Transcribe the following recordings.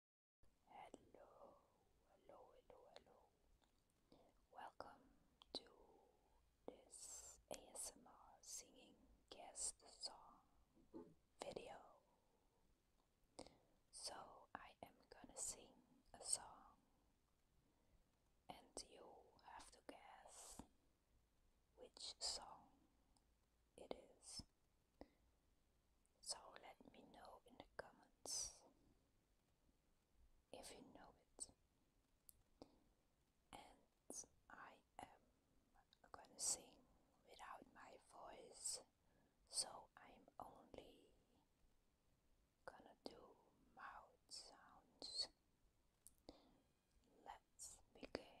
Hello, hello, hello, hello. Welcome to this ASMR singing guest song video. So, I am gonna sing a song, and you have to guess which song it is. So let me know in the comments if you know it. And I am gonna sing without my voice, so I'm only gonna do mouth sounds. Let's begin.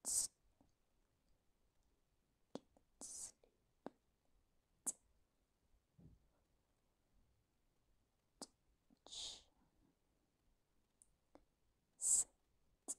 Get sleep. Touch. Sit. Drink.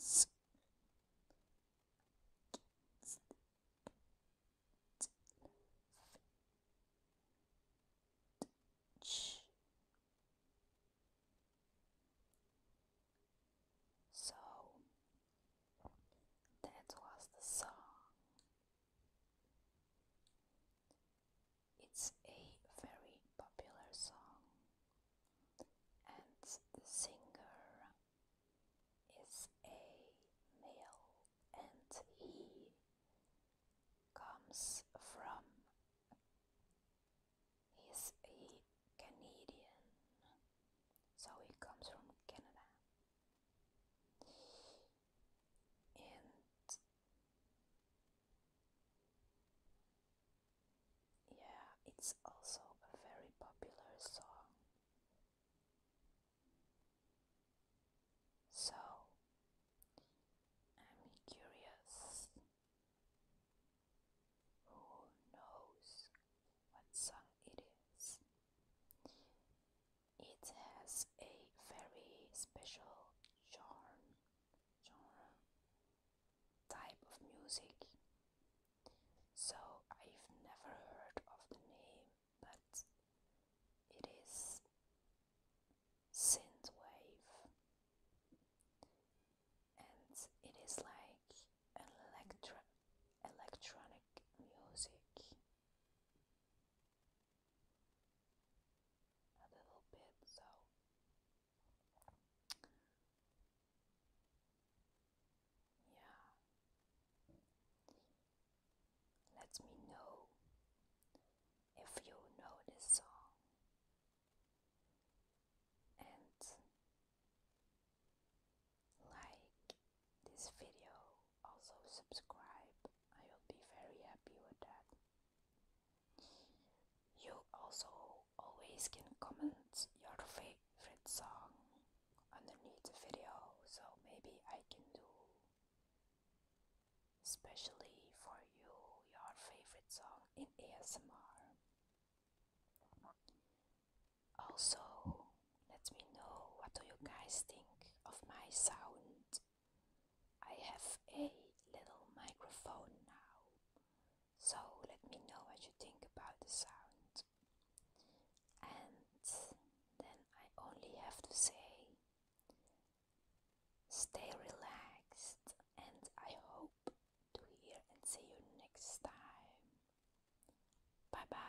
So that was the song. It's a very popular song, and the singer is a male, and he comes from he's a Canadian, so he comes from Canada. And yeah, it's also a very popular song. So, I'm curious who knows what song it is. It has a very special charm genre type of music. So I've never heard of the name, but it is synthwave, and it is like electro electronic music a little bit, so yeah, let me know if you know this song and like this video, also subscribe. I will be very happy with that. You also always can comment your favorite song underneath the video, so maybe I can do especially for you your favorite song in ASMR. Also, let me know what do you guys think of my sound I have a little microphone now, so let me know what you think about the sound. And then I only have to say, stay relaxed, and I hope to hear and see you next time. Bye bye.